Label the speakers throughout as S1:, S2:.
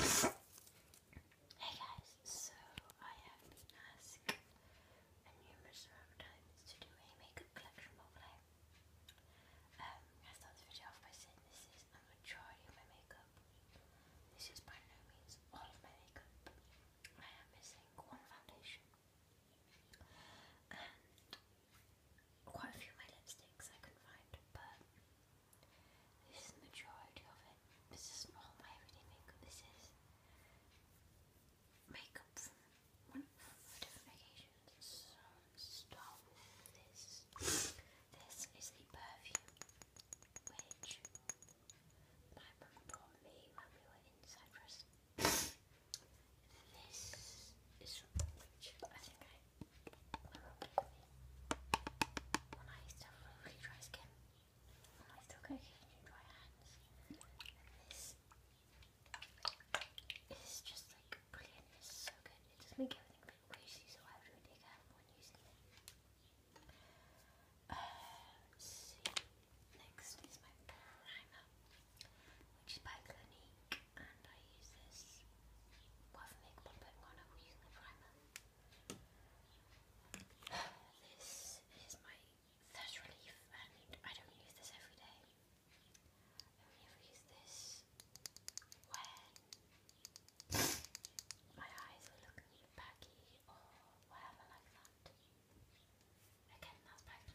S1: Hey guys, so I have been asked a numerous times to do a makeup collection roleplay. Um, I start this video off by saying this is a majority of my makeup. This is by no means all of my makeup. I am missing one foundation and quite a few my lipsticks I can find, but this is majority of it. This is all my everyday makeup. This is makeup this. is the perfume which my mum brought me when we were in Cyprus. this is which I think I when I used have really dry skin, and I still get occasionally dry hands, this is just like brilliant. It's so good. It does make everything bit greasy, so I have to take when using it. Next is my primer, which is by Clinique, and I use this. Well, makeup i on, I will use the primer. This is my thirst relief, and I don't use this every day. I only use this when my eyes were looking baggy or whatever like that. Again, that's back to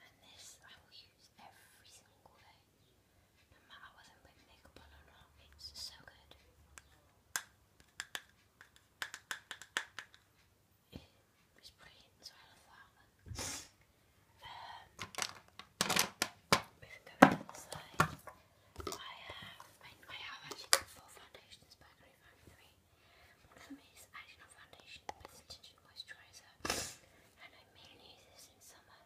S1: and this I will use every single day, no matter whether I'm putting makeup on or not. It's so good. we can go to the side. I have, actually got four foundations, but I can only find three. One is actually foundation, but it's tinted moisturiser and I mainly use this in summer.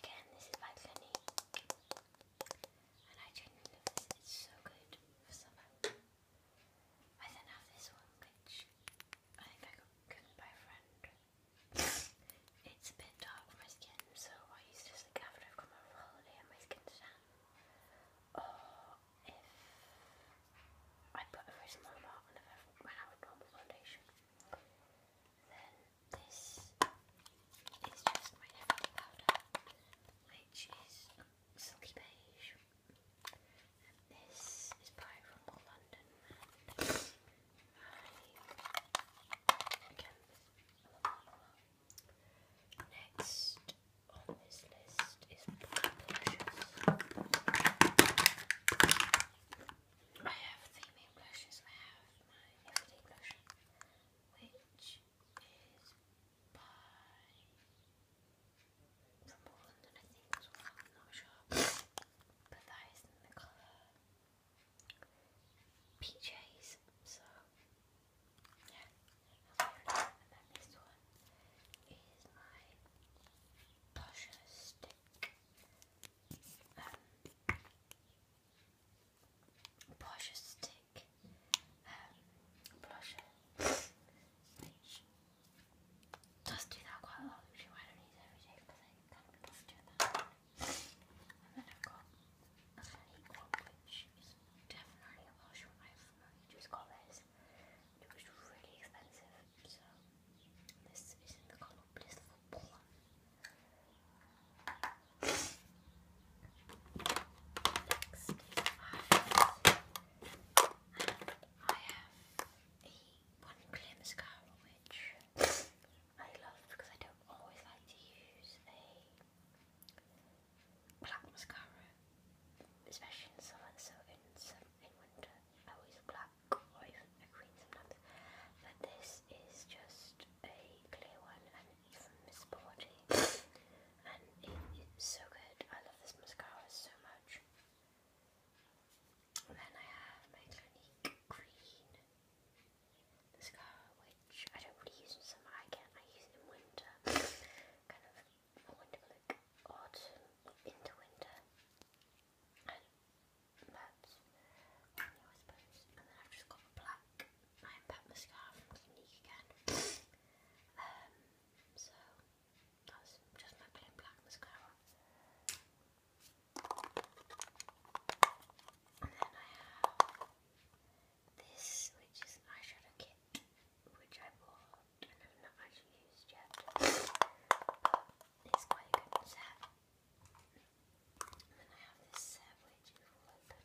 S1: Again, this is by Clinique, and I genuinely love this. It's so good for summer. I then have this one, which I think I got given by a friend. it's a bit dark for my skin, so I use this like after I've come over a holiday and my skin's tan. Or oh, if I put a very small amount on a when normal foundation. Then this is just my different powder, which is silky beige. this is probably from Old London. Next on this list is I have three main blushes. I have my everyday blush, which is by from London, I think, not sure, but in the colour PJs. So yeah, and then this one is my blusher um, blusher stick, um, does do that quite a lot, which I don't use every day because I can't be that. And then I've got a funny one, which is definitely a blusher I've just got this. It was Next I have a one clear mascara which I love because I don't always like to use a black mascara, especially in summer. So in winter, I always black black or a green sometimes. But this is just a clear one and it's from and it is so good. I love this mascara so much. And then I have my Clinique green mascara, which I don't really use in summer. I can I use it in winter, kind of winter autumn into winter and Peps then I've just got a black Iron Pep mascara from Clinique again um, so that's just my plain black mascara and then I have this which is an eyeshadow kit which I bought and I've not actually used yet He's quite good then I have this set is more eyeshadow.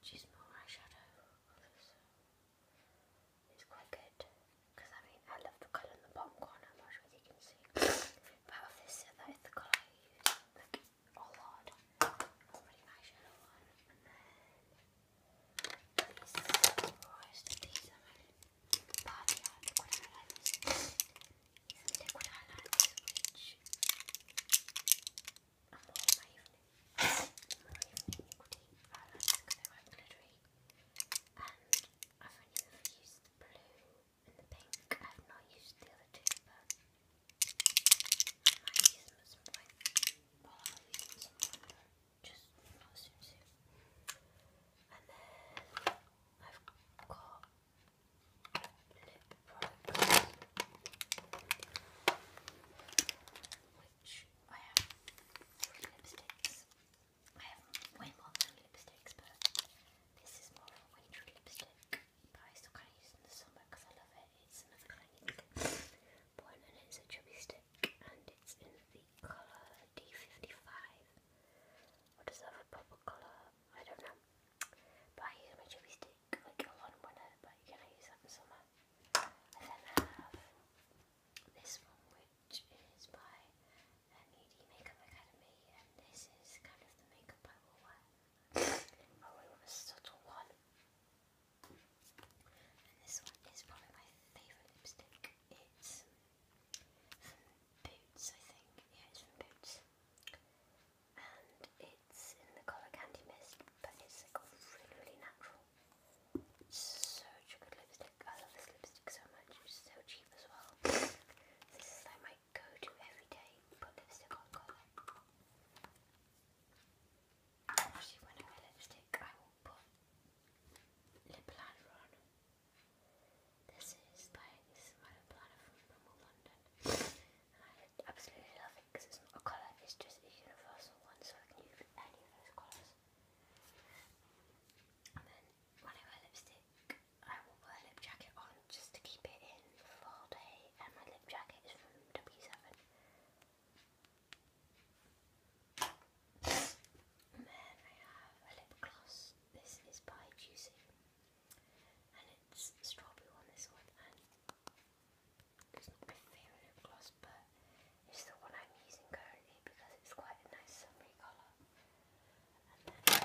S1: Which is more eyeshadow. it's quite good. Because I mean, I love the colour in the bottom I'm not sure if you can see. but of this set, that is the colour a lot. I'll put in one. And then these first, these are my body art liquid highlighters. These are liquid highlighters which are more my evening. my evening liquid highlighters because they glittery. And I've only ever used blue pink. I've not used the other two, but I use them at some point. I'll use them at some point, just not soon soon. And then I've got lip products, which I have three lipsticks. I have way lipsticks, but this is more of a lipstick. I still kind of use in the summer because I love it. It's another kind of and it's a chubby stick, and it's in the colour D55. Or does it have a proper colour? I don't know. But I use my chubby stick like a lot in but you can use that in summer. I then have this one, which is by MED Makeup Academy, and this is kind of the makeup I wear. Oh, I a subtle one. And this one is probably my favourite lipstick. It's from Boots, I think. Yeah, from Boots. And it's in the colour Candy Mist, but it's like really, really natural. Such a good lipstick. I love this lipstick so much. It's so cheap as well. this is like my go to every day, put lipstick on colour. Actually, when I wear lipstick, I will put lip liner on. This is like this is my lip liner from London, I absolutely love it because it's not a colour; it's just a universal one, so I can use any of those colours. And then when I wear lipstick, I will wear a lip jacket on just to keep it in for all day and my lip jacket is from W7. And then I have a lip gloss. This is by Juicy. And it's strawberry on this one it's not my favourite gloss but it's the one I'm using currently because it's quite a nice summery colour. And then I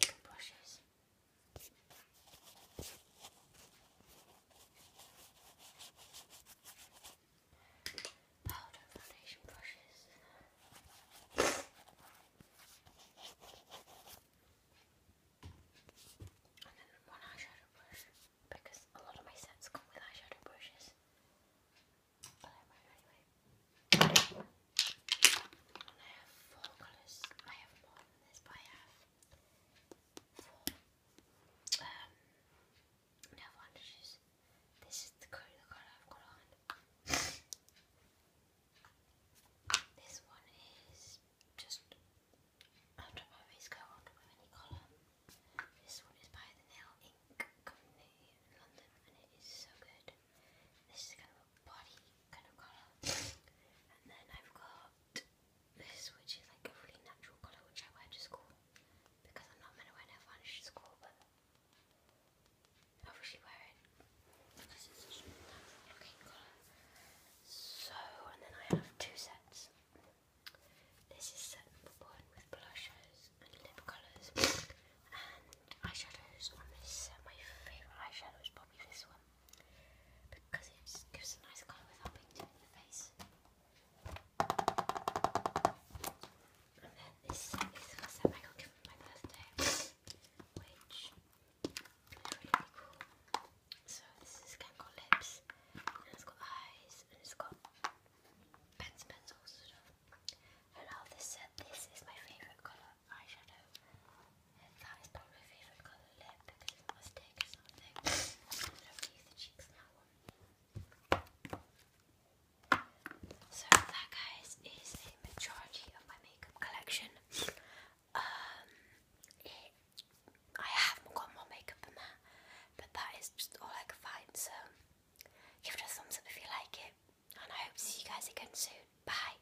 S1: have brushes powder foundation brushes. And then one eyeshadow brush because a lot of my sets come with eyeshadow brushes. But I might anyway. And I have four colours. I have more than this, but I have for um, nail varnishes. This is the colour, i I've got on. this one is just after my face go on with any colour. This one is by the Nail Ink Company in London and it is so good. This is kind of a body kind of colour. and then I've got this, which is like a really natural colour, which I wear to school because I'm not meant to wear nail varnish to school, but I obviously wear it because it's such a natural looking colour. So, and then I have two sets. This is set number one with blushes and lip colours and eyeshadows on this My favourite eyeshadow is probably this one because it gives a nice colour without being too face. And then this is my birthday, which So this is got lips, and it's got eyes, and it's got pens, pencils, stuff. I love this This is my favourite colour eyeshadow. And So that guys is a majority of my makeup collection. Um I have got more makeup than that, but that is just all I could find, so give it a thumbs up if you like it. And I hope to see you guys again soon. Bye.